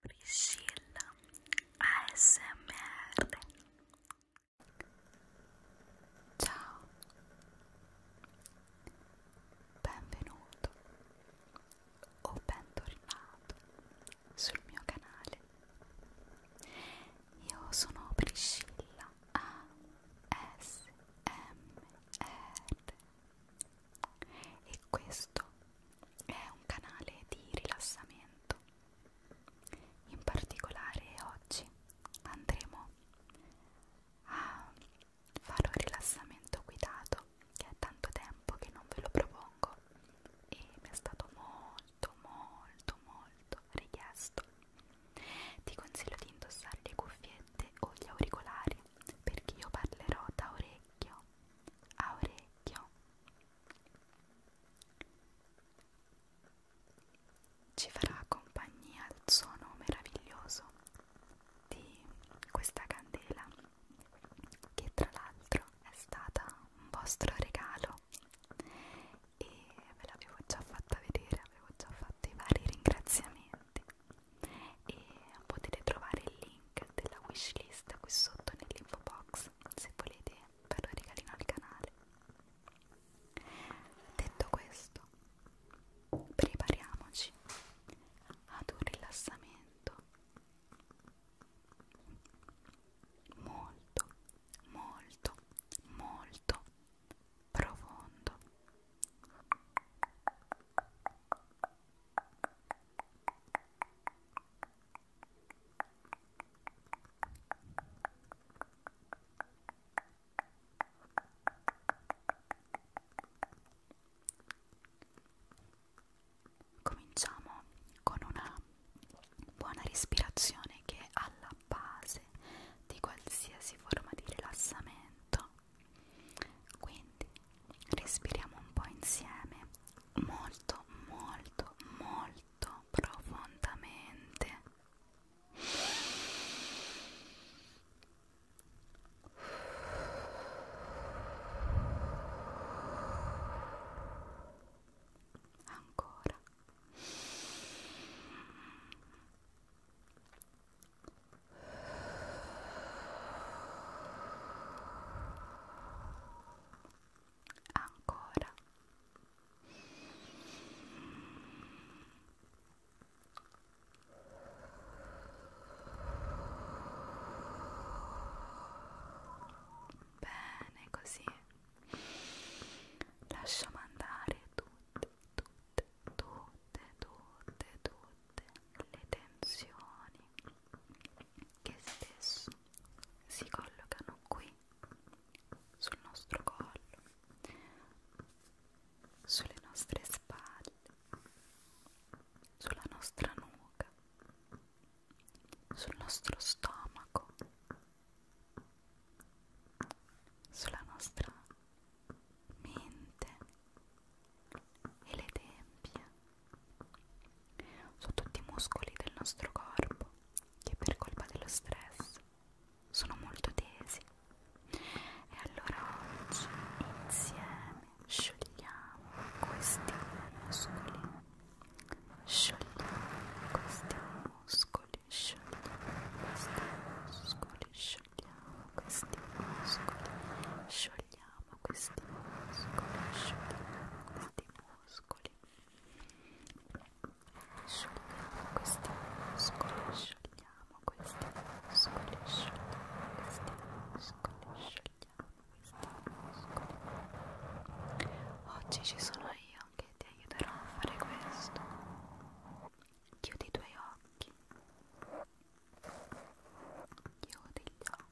Priscilla ASMR Ciao Benvenuto o bentornato sul mio canale Io sono Priscilla ASMR e questo è un canale di rilassamento. In particolare oggi andremo a fare un rilassamento guidato che è tanto tempo che non ve lo propongo e mi è stato molto molto molto richiesto. Ti consiglio di indossare le cuffiette o gli auricolari perché io parlerò da orecchio a orecchio ci farà compagnia il suono meraviglioso di questa candela che tra l'altro è stata un vostro regalo e ve l'avevo già fatta vedere, avevo già fatto i vari ringraziamenti e potete trovare il link link della wishlist qui sotto nell'info box se volete fare un regalino al canale detto questo prepariamoci ad un rilassamento molto molto molto profondo Cominciamo con una buona respirazione che è alla base di qualsiasi forma di rilassamento. Quindi respiriamo un po' insieme molto molto molto profondamente ancora ancora bene così lasciamo andare tutte tutte tutte tutte tutte le tensioni che spesso si collocano qui sul nostro collo, sulle nostre spalle, sulla nostra nuca, sul nostro stomaco, sulla nostra mente e le tempie sono tutti i muscoli del nostro corpo che per colpa dello stress sono molto tesi. E allora oggi insieme sciogliamo questi muscoli. Sciogliamo questi muscoli, sciogliamo questi muscoli, sciogliamo questi muscoli, sciogliamo schiudiamo questi muscoli, asciughiamo questi muscoli, asciughiamo questi muscoli, asciughiamo questi muscoli, asciughiamo questi muscoli, asciughiamo questi muscoli. Oggi ci sono io che ti aiuterò a fare questo. Chiudi i tuoi occhi. Chiudi gli occhi.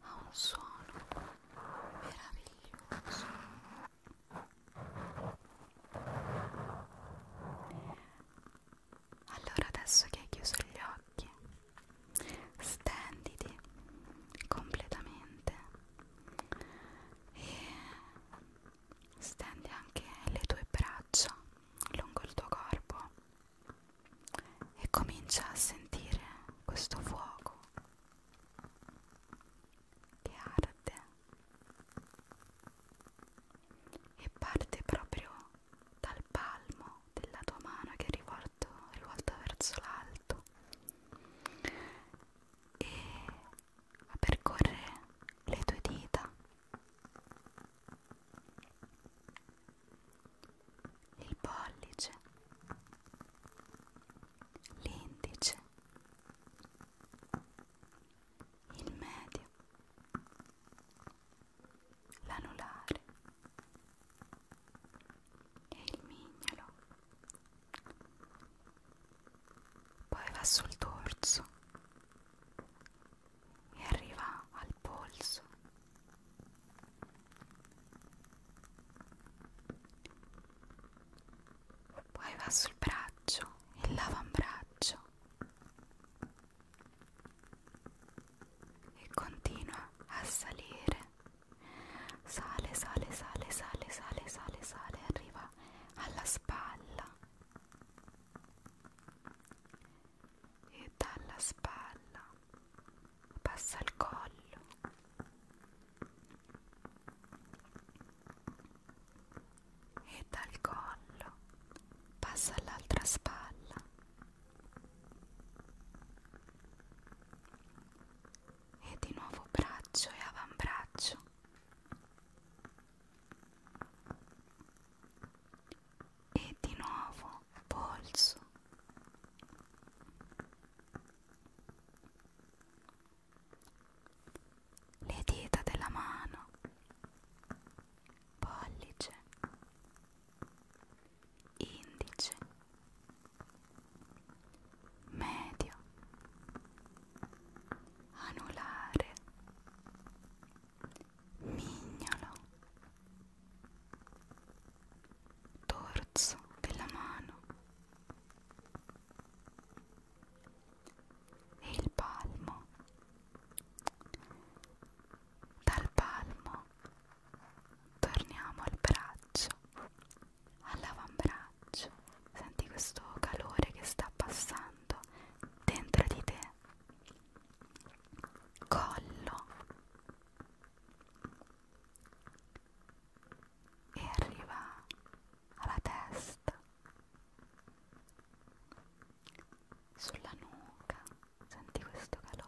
ha un suono meraviglioso allora adesso che hai chiuso gli occhi stenditi completamente e stendi anche le tue braccia lungo il tuo corpo e comincia a sentire questo fuoco che arde e parte proprio dal palmo della tua mano che è rivolto, rivolto verso l'alto e a percorrere le tue dita il pollice, l'indice, il medio, l'anulare e il mignolo. Poi va sul dorso e arriva al polso poi va sul braccio, il l'avambraccio e continua a salire. Sale, sale, sale, sale, sale, sale, sale, arriva alla spalla e dalla spalla passa al collo e dal collo passa all'altra spalla e di nuovo braccio e avambraccio e di nuovo polso le dita della mano pollice indice medio anulare mignolo dorso della mano e il palmo dal palmo torniamo al braccio all'avambraccio senti questo calore che sta passando dentro di te collo e arriva alla testa, sulla nuca, senti questo calore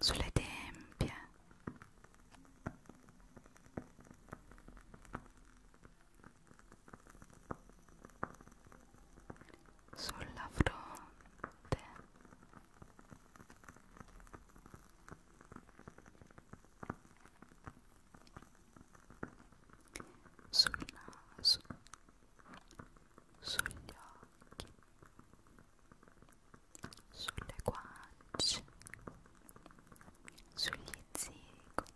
sulle tempie sulla fronte sul naso sugli occhi sulle guance, sugli zigomi,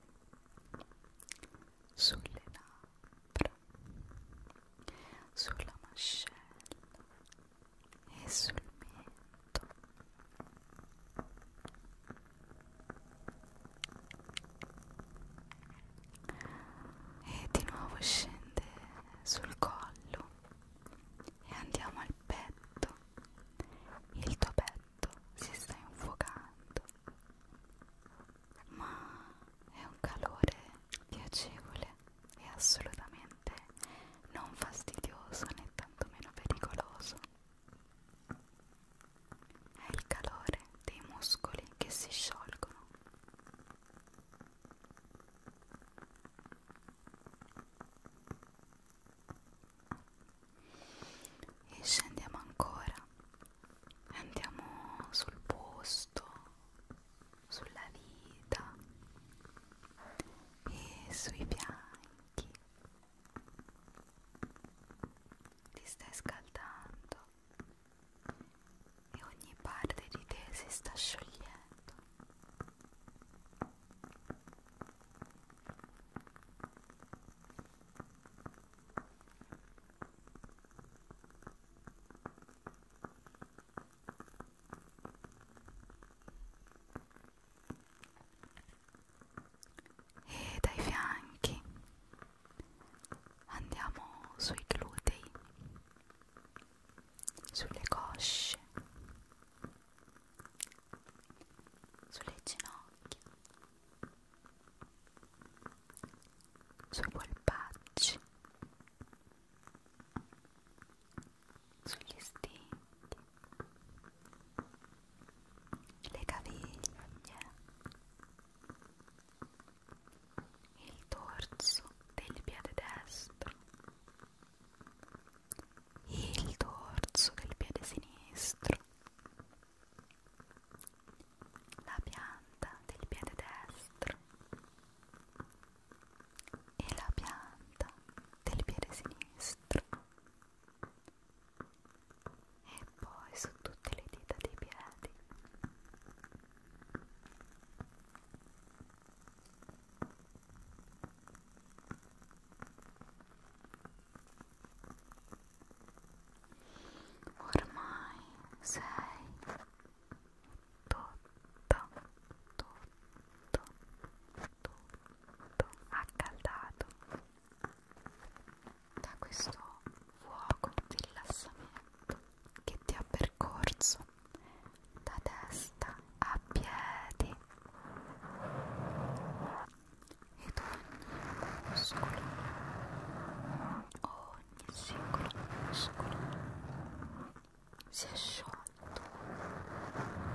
sulle labbra, sulla mascella e sul mento. E di nuovo scende sul collo e andiamo al petto. Il tuo petto si sta infuocando, ma è un calore piacevole e assolutamente non fastidioso né tantomeno pericoloso. È il calore dei muscoli che si sciolgono e scendiamo ancora andiamo sul posto sulla vita e sui fianchi ti stai scaldando e ogni parte di te si sta sciogliendo. E dai fianchi andiamo sui glutei sulle cosce, sulle ginocchia, sui polpacci, sugli stinti, le caviglie, il dorso del piede destro, il dorso del piede sinistro, la pianta del piede destro e la pianta del piede sinistro e poi su tutte le dita dei piedi Ormai sei tutto, tutto, tutto accaldato da questo fuoco di rilassamento che ti ha percorso da testa a piedi ed ogni muscolo, ogni singolo muscolo si è sciolto e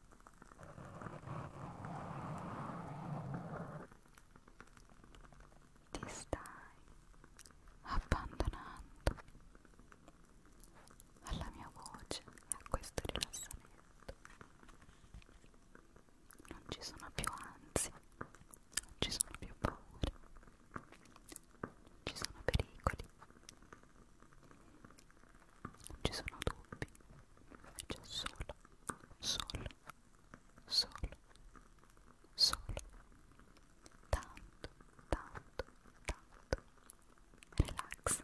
ti stai abbandonando alla mia voce e a questo rilassamento non ci sono più ansie non ci sono più paure non ci sono pericoli ci sono dubbi c'è solo solo solo solo tanto tanto tanto relax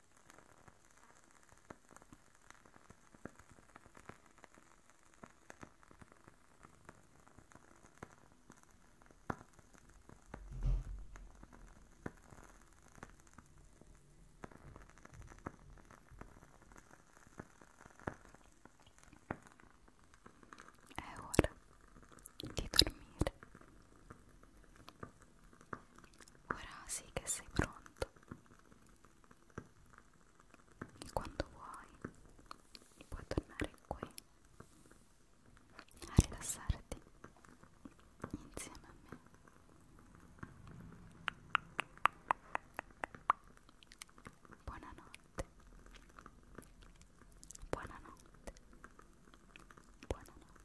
È ora di dormire. Ora sì che sei pronto. E quando vuoi puoi tornare qui a rilassarti insieme a me. Buonanotte. Buonanotte. Buonanotte.